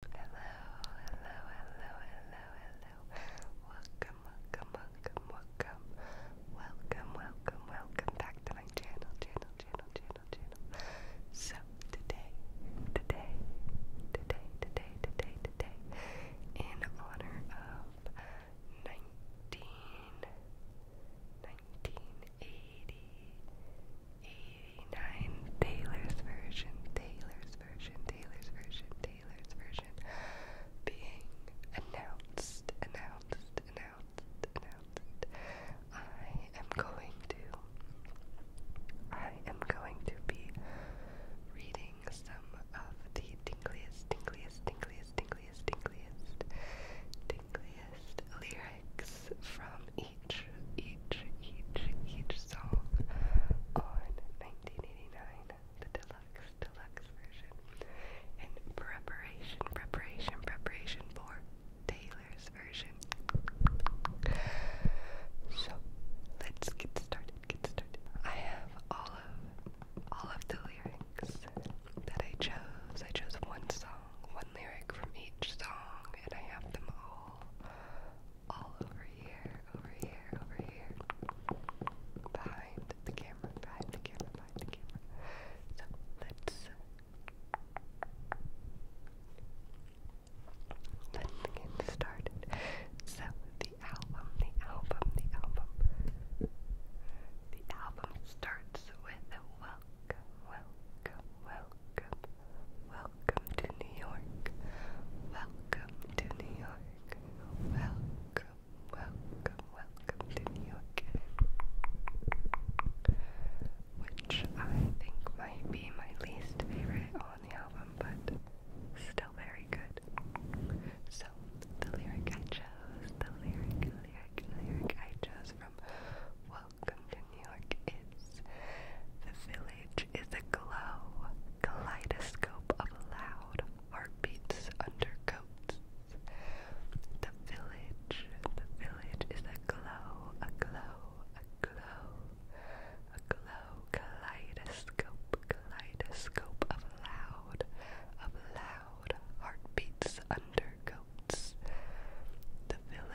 Hello, hello, hello, hello, hello. Welcome, welcome, welcome, welcome. Welcome, welcome, welcome back to my channel, channel, channel, channel, channel. So today, today, today, today, today, today, in honor of 19, 1980, 89 Taylor's version, Taylor's version, Taylor's version, Taylor's version being announced, announced, announced, announced. I am going to I am going to be reading some of the tingliest, tingliest, tingliest, tingliest, tingliest, tingliest lyrics from each each, each, each, song on 1989, the deluxe, deluxe version, in preparation, preparation, preparation for Taylor's version. So let's get started. Get started. I have all of all of the lyrics that I chose. I chose one song, one lyric from each song, and I have them all all over here, over here, over here, behind the camera, behind the camera, behind the camera. So let's uh, let's get started. So the album, the album, the album, the album starts with welcome, welcome, welcome welcome, to New York, welcome to New York, welcome, welcome, welcome to New York. Which I think might be my least favorite on the album, but still very good. So, the lyric I chose, the lyric, lyric, lyric I chose from welcome to New York is. The village is a glow, kaleidoscope of loud heartbeats undercoats. The village, the village is a glow, a glow, a glow, a glow, kaleidoscope, kaleidoscope of loud, of loud heartbeats undercoats. The village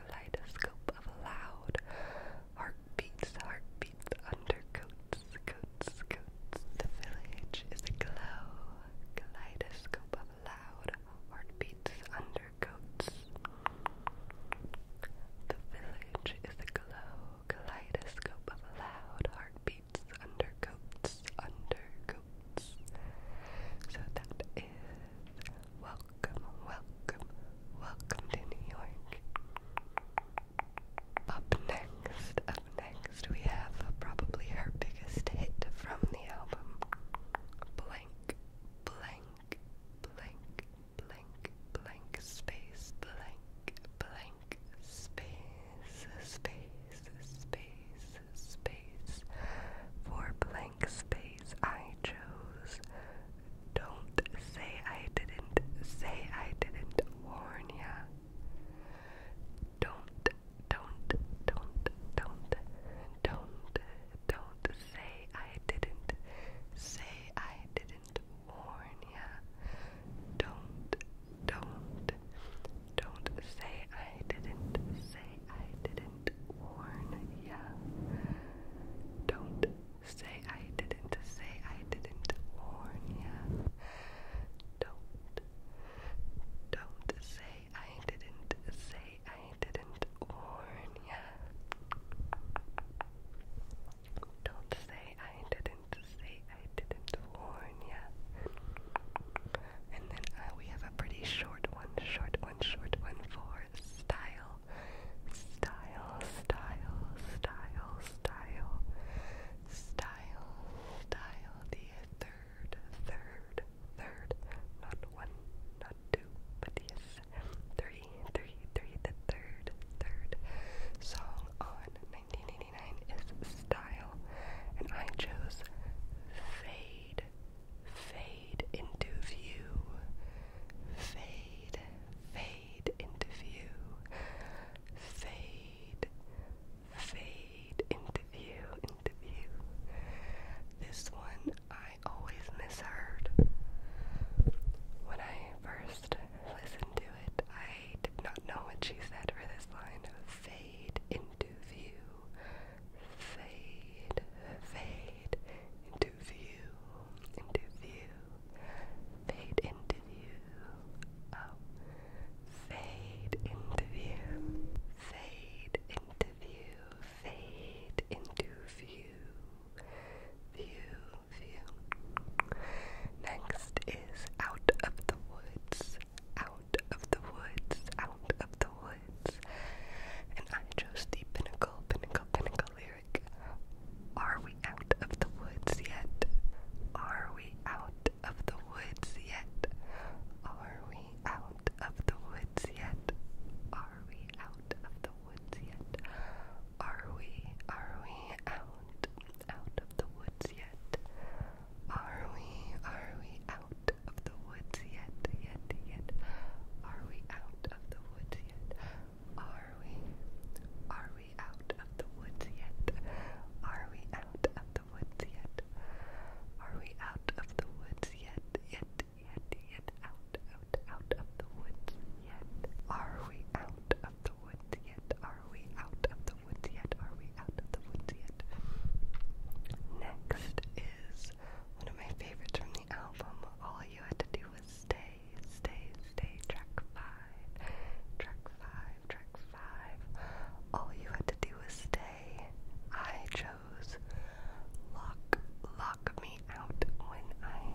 kaleidoscope of loud heartbeats, heartbeats, undercoats, coats, coats. The village is a glow, kaleidoscope of loud heartbeats, undercoats. The village is a glow, kaleidoscope of loud heartbeats, undercoats, undercoats. So that is Welcome, welcome, welcome to New York. Up next, up next, we have probably her biggest hit from the album Blank, Blank, Blank, Blank, Blank, Space, Blank, Blank, Space, Space, Space, Space, for Blank Space phrase I chose. Don't say I didn't, say I didn't warn ya. Don't, don't, don't, don't, don't, don't say I didn't, say I didn't warn ya. Don't, don't, don't say I didn't, say I didn't warn ya. Don't say I didn't say I didn't warn ya. Don't. Don't say I didn't say I didn't warn ya. Don't say I didn't say I didn't warn ya. And then uh, we have a pretty short one, short one, short one for your style, style, style, style, style, style, style, the third, third, third, not one, not two, but yes, three, three, three, the third, third song on 1989 is Style, and I chose Fade. Fade into view. Fade, fade into view. Fade, fade into view, into view. This one I always misheard. When I first listened to it, I did not know what she said for this line. Fade into view fade, fade into view, into view, fade into view, oh, fade into view, fade into view, fade into view, view, view. Next is out of the woods, out of the woods, out of the woods and I chose the pinnacle, pinnacle, pinnacle lyric. Are we out of the woods yet? Are we out of the woods yet? Are we out of the woods yet? Are we out of the woods yet? Are we, are we out, out of the woods yet? Are we, are we out of the woods yet? Yet, yet? Are we out of the woods yet? Are we? Are we out of the woods yet? Are we out of the woods yet? Are we out of the woods yet? Yet, yet, yet? Out, out, out of the woods yet? Are we out of the woods yet? Are we out of the woods yet? Are we out of the woods yet? Next is one of my favorites from the album. All you had to do was stay, stay, stay. Track five, track five, track five. All you had to do was stay. I chose lock, lock me out when I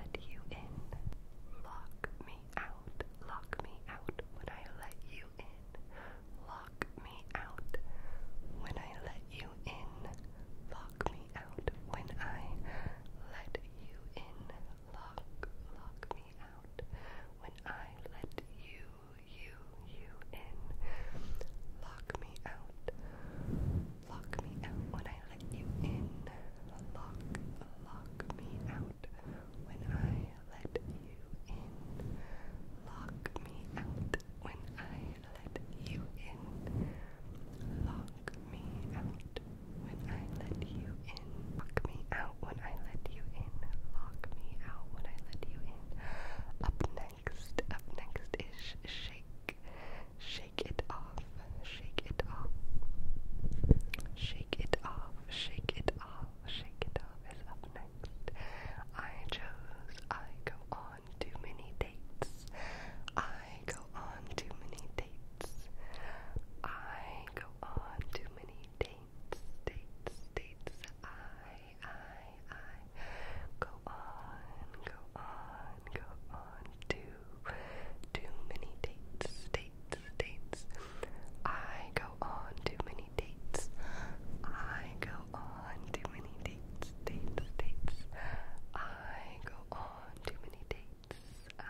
let you in. Lock me out, lock me out when I let you in. Lock me out when I let you in. Lock me out when I let you in. Lock, lock me out when I let you, you, you in. Lock me out. Lock me out when I let you in. Lock, lock me out when I let you in. Lock me out when I let you in. Lock me out when I let you in. Lock me out when I let you in. Lock me out when I let you in. Up next, up next is shake. Shake it off. Shake it off. Shake it off. Shake it off. Shake it off up next. I chose I go on too many dates. I go on too many dates. I go on too many dates. Dates, dates. I, I, I go on, go on, go on too, too many dates. Dates, dates. I go on too many dates. I go on too many dates, dates, dates. I go on too many dates. I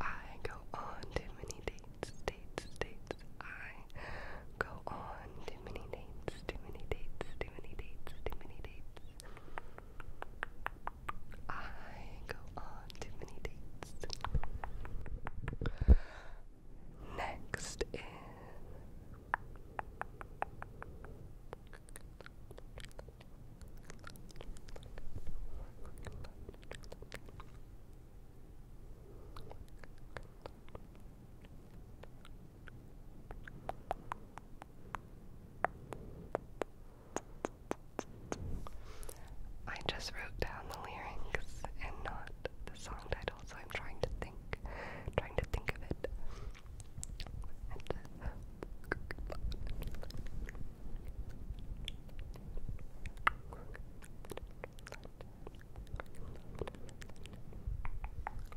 I go on too many dates, dates, dates. I go on too many dates, too many dates, too many dates, too many dates. I go on too many dates. Next is I just wrote down the lyrics and not the song title so I'm trying to think, trying to think of it.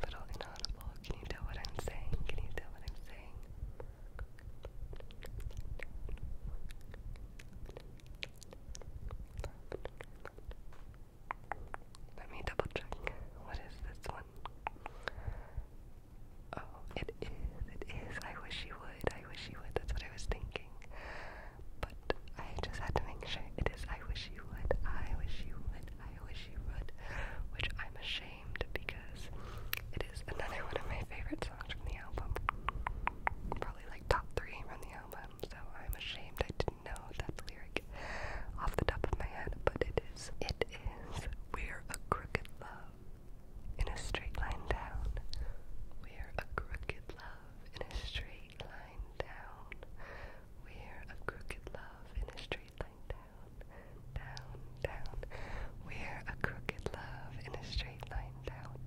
Little inaudible. Can you tell what I'm saying? Can you tell what I'm saying? Let me double check. What is this one? Oh, it is, it is. I wish you would, I wish you would. That's what I was thinking. But I just had to make sure it is I wish you would, I wish you would, I wish you would. Which I'm ashamed because it is another one of my favorite songs from the album. Probably like top three from the album so I'm ashamed I didn't know that lyric off the top of my head, but it is. It is. We're a crooked love in a straight line down. We're a crooked love in a straight line down. We're a crooked love in a straight line down. Down, down. We're a crooked love in a straight line down.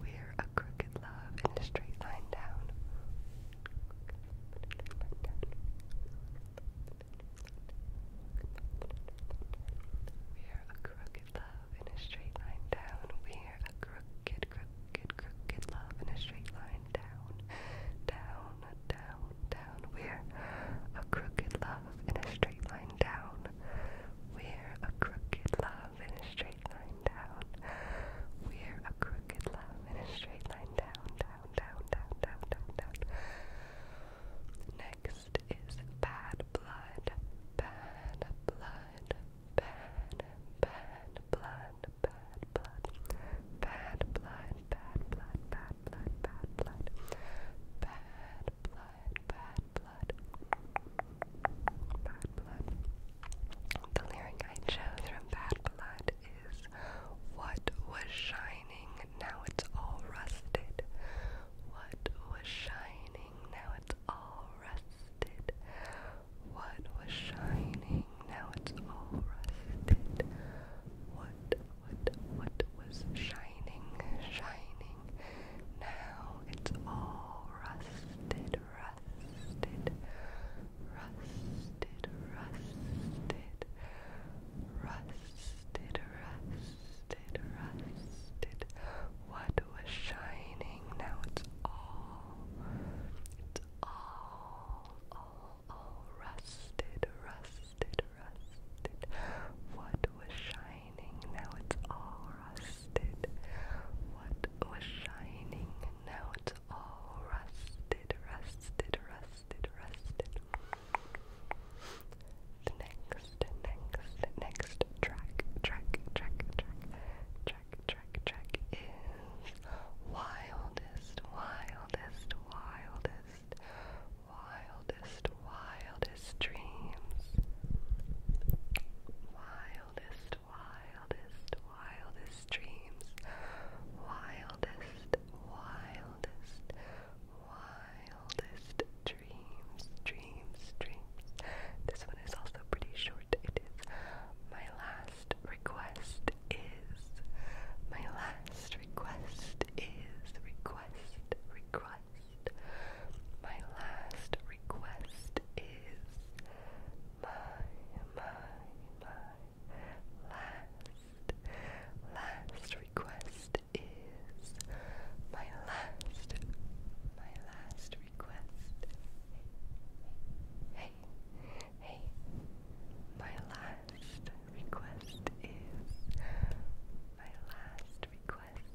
We're a crooked love and a straight line down. We're a crooked love and a straight line down. We're a crooked, crooked, crooked love and a straight line down. Down, down, down. We're a crooked love and a straight line down. We're a crooked love and a straight we're a crooked love in a straight line down, down, down, down, down, down, down. Next is bad blood, bad blood, bad, bad blood, bad blood, bad blood, bad blood, bad blood, bad blood, bad blood, bad blood. Bad blood. The lyric I chose from Bad Blood is What was shining, now it's all rusted. What was shining, now it's all rusted. What was shining, now it's all rusted. What, what, what was shining, shining, now it's all rusted, rusted, rusted, rusted, rusted, rusted, rusted. What was shining now? It's all, it's all, all, all rusted, rusted, rusted. What was shining now? It's all rusted. What was shining, now it's all rusted, rusted, rusted, rusted. The next, next, next track, track, track, track, track, track, track is wildest, wildest, wildest, wildest, wildest dreams. Wildest wildest, wildest, dreams. Wildest, wildest, wildest dreams, dreams, dreams. This one is also pretty short. It is my last request is my last request is request request my last request is my, my, my last, last request is my last, my last request. Hey, hey, my last request is my last request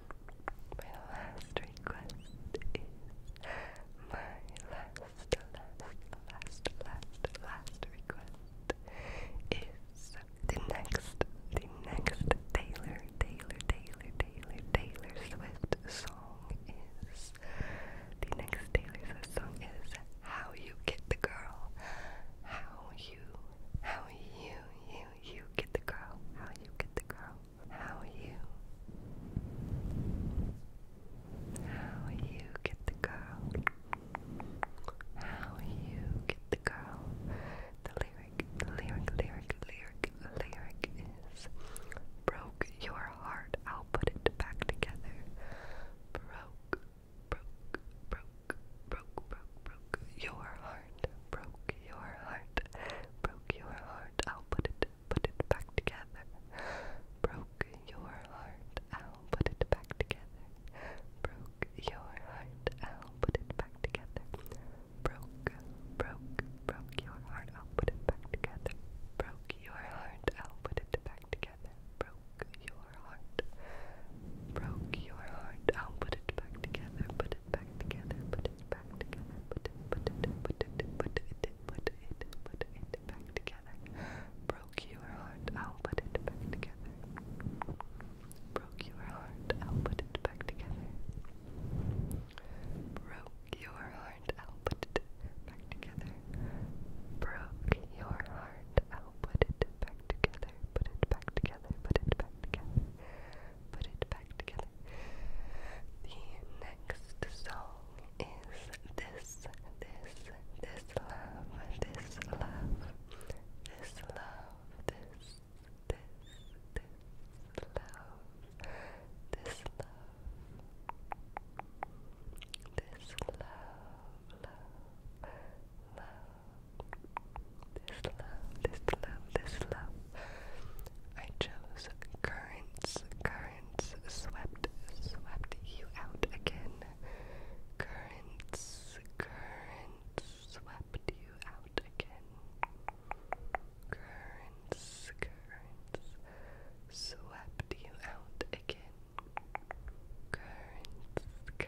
My last request is my last, last, last, last, last request is the next, the next Taylor, Taylor, Taylor, Taylor, Taylor Swift song is the next Taylor Swift song is How You Get the Girl, How You, How You, You, You Get the Girl, How You Get the Girl how you how you get the girl how you get the girl the lyric lyric lyric lyric lyric is broke your heart I'll put it back together broke broke broke broke broke your heart broke your heart, broke your heart. I'll put it, put it back together. Broke your heart. I'll put it back together. Broke your heart. I'll put it back together. Broke, broke, broke your heart. I'll put it back together. Broke your heart. I'll put it back together. Broke your heart. Broke your heart. I'll put it back together. Put it back together, put it back together, put it, put it, put it, put it, put it, put it back together. Broke your heart, I'll put it back together. Broke your heart, I'll put it back together. Broke your heart, I'll put it back together. Broke your heart, I'll put it back together. Put it back together, put it back together put it back together. The next song is This, This, This Love, This Love, This Love, This, This, This Love, This Love, This Love, Love, Love. This love, this love, this love. I chose currents, currents swept, swept you out again. Currents, currents swept you out again. Currents, currents swept you out again. Currents,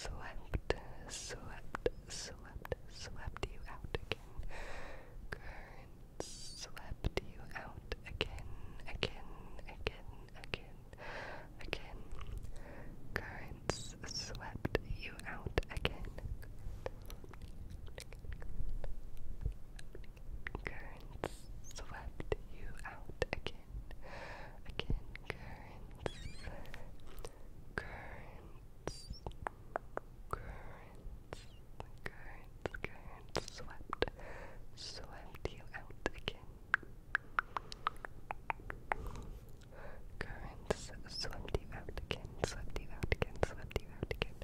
currents swept, swept, slept, slept you out again. Currents slept you out again, again, again, again, again. Currents swept you out again. Currents swept you out again. Again, currents. Currents currents, currents, currents swept, swept you out again. Currents swept you out again, swept you out again, swept you out again.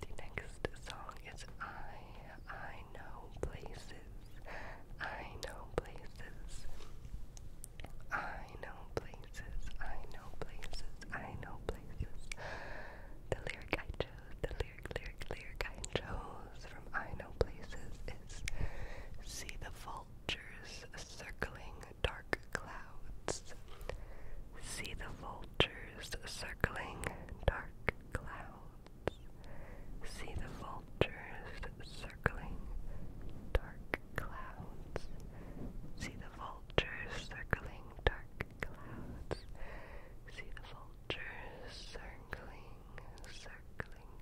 The next song is I, I Know Places. I Know Places. I Know Places places, I know places, I know places. The lyric I chose, the lyric, lyric, lyric I chose from I Know Places is See the vultures circling dark clouds. See the vultures circling dark clouds. See the vultures circling dark clouds. See the vultures circling dark clouds. See the vultures circling, circling,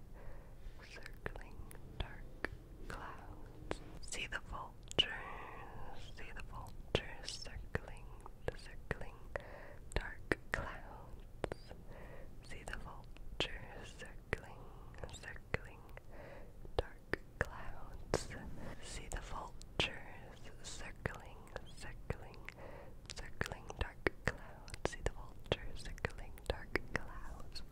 circling dark clouds. See the vultures, see the vultures circling, circling dark clouds. See the vultures circling, circling dark clouds. See the vultures circling, circling, circling dark clouds. See the vultures circling dark clouds.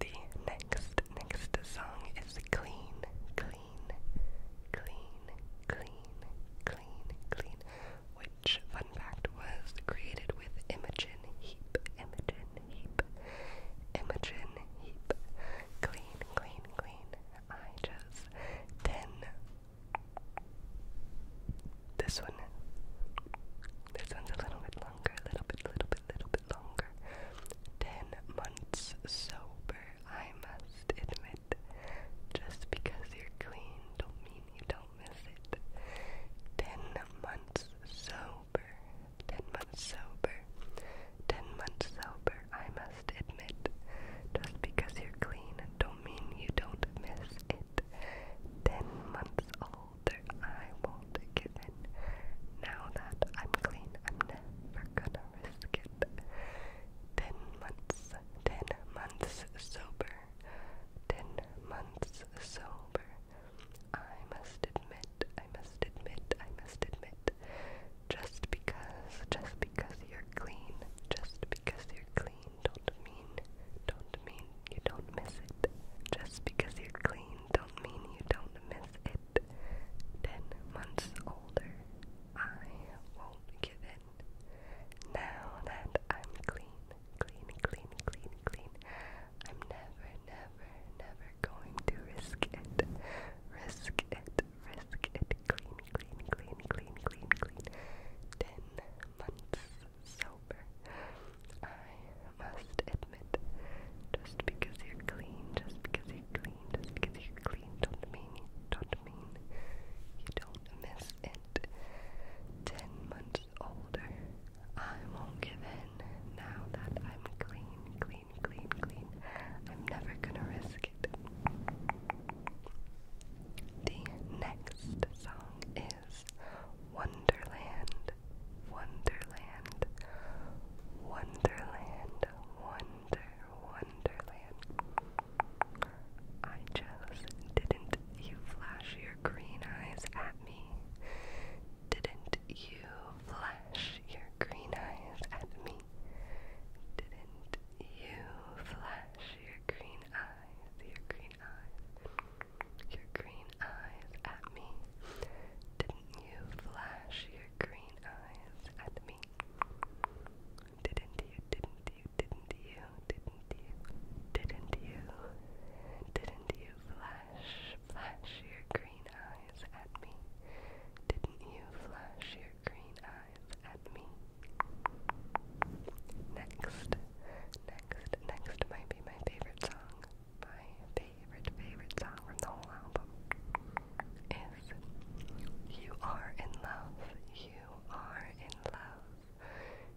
The next, next song is Clean, Clean, Clean, Clean, Clean, Clean, fun fact, was created with Imogen Heap, Imogen Heap, Imogen Heap. Clean, clean, clean. I just then this one. This one's a little bit longer, a little bit, little bit, little bit longer. Ten months sober, I must admit. Just because you're clean don't mean you don't miss it. Ten months sober. Ten months sober. Ten months sober, I must admit. Just because you're clean don't mean you don't miss it. Ten months older, I won't give in. Now that I'm clean, I'm never gonna risk it. Ten months, ten months sober. Ten months sober. I must admit, I must admit, I must admit, just because, just because you're clean, just because you're clean, don't mean, don't mean you don't miss it. Just because you're clean, don't mean you don't miss it. Ten months older, I won't give in. Now that I'm clean, clean, clean, clean, clean. I'm never, never, never going to risk it. Risk it, risk it. Clean, clean, clean, clean, clean, clean. Ten months sober. I must admit, just because you're clean, just because you're clean, just because you're clean, don't mean, don't mean you don't miss it. Ten months older, I won't give in now that I'm clean, clean, clean, clean. I'm never gonna risk it. The next song is Wonderland, Wonderland, Wonderland, Wonder, Wonderland. I just didn't you flash green eyes at me? Didn't you flash your green eyes at me? Didn't you flash your green eyes, your green eyes, your green eyes at me? Didn't you flash your green eyes at me? Didn't you, didn't you, didn't you, didn't you, didn't you, didn't you flash, flash your green eyes at me? Didn't you flash your green eyes at me? Next, next, next might be my favorite song. My favorite, favorite song from the whole album is You Are in Love. You Are in Love.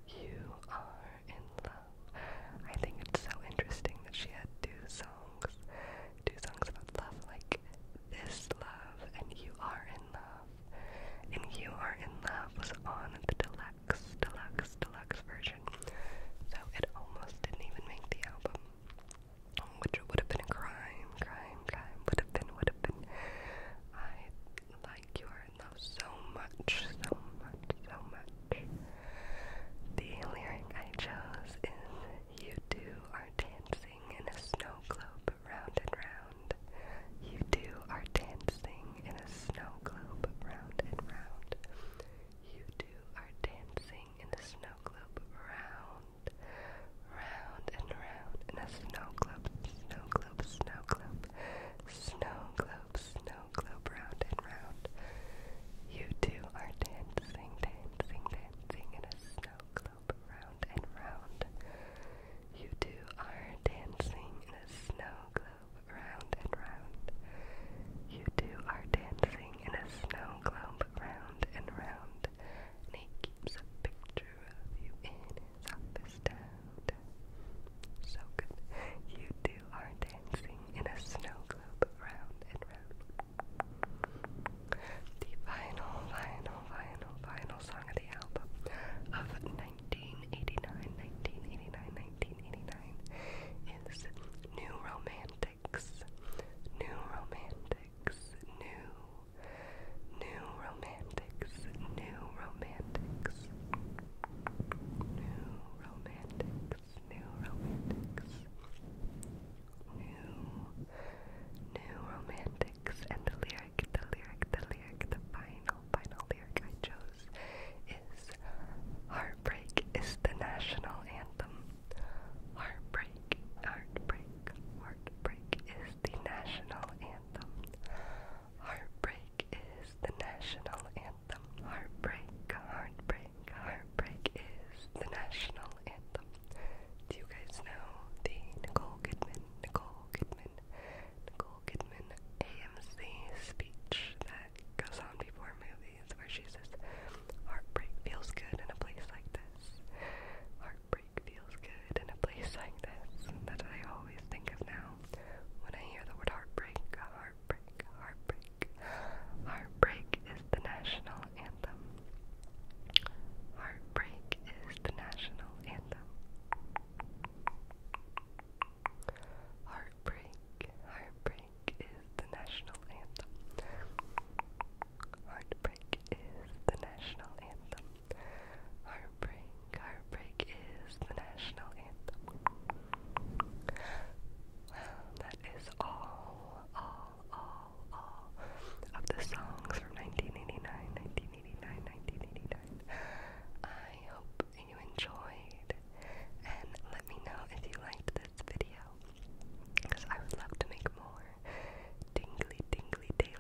You Are in Love. I think it's so interesting that she had two songs, two songs about love, like This Love and You Are in Love. And You Are in Love was on the deluxe, deluxe, deluxe version, so it almost didn't even make the album. Which would have been a crime, crime, crime, would have been, would have been. I like your in love so much, so much, so much. The lyric I chose is You two are dancing in a snow globe round and round. You two are dancing in a snow globe round and round. You two are dancing in a snow globe round, round and round in a snow globe, snow globe, snow globe, snow globe. You two are dancing, dancing, dancing in a snow globe round and round. You two are dancing in a snow globe round and round. You two are dancing in a snow globe round and round. he keeps a picture of you in on So good. You two are dancing in a snow globe round and round. The final, final, final, final song of the album of 1989, 1989, 1989 is New Romantics. New Romantics. New. New Romantics. New Romantics. New romantics, new romantics, new, new romantics, and the lyric, the lyric, the lyric, the final, final lyric I chose is Heartbreak is the national anthem. Heartbreak, heartbreak, heartbreak is the national anthem. Heartbreak is the national anthem. Heartbreak, heartbreak, heartbreak is the national anthem. Do you guys know the Nicole Kidman, Nicole Kidman, Nicole Kidman AMC speech that goes on before movies where she says, Heartbreak feels good in a place like this. Heartbreak feels good in a place like this. That's I always think of now when I hear the word heartbreak, heartbreak, heartbreak. Heartbreak is the national anthem. Heartbreak is the national anthem. Heartbreak, heartbreak is the national anthem. Heartbreak is the national anthem. Heartbreak, heartbreak is the national anthem. that is all, all, all, all of the songs from 1989, I hope you enjoyed, and let me know if you liked this video, because I would love to make more tingly, tingly, daily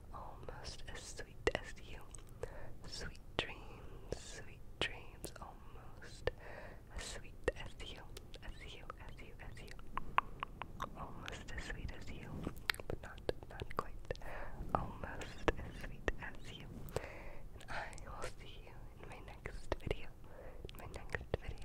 almost as sweet as you. Sweet dreams, sweet dreams, almost as sweet as you, as you, as you, as you. Almost as sweet as you, but not, not quite. Almost as sweet as you. I will see you in my next video. my next video.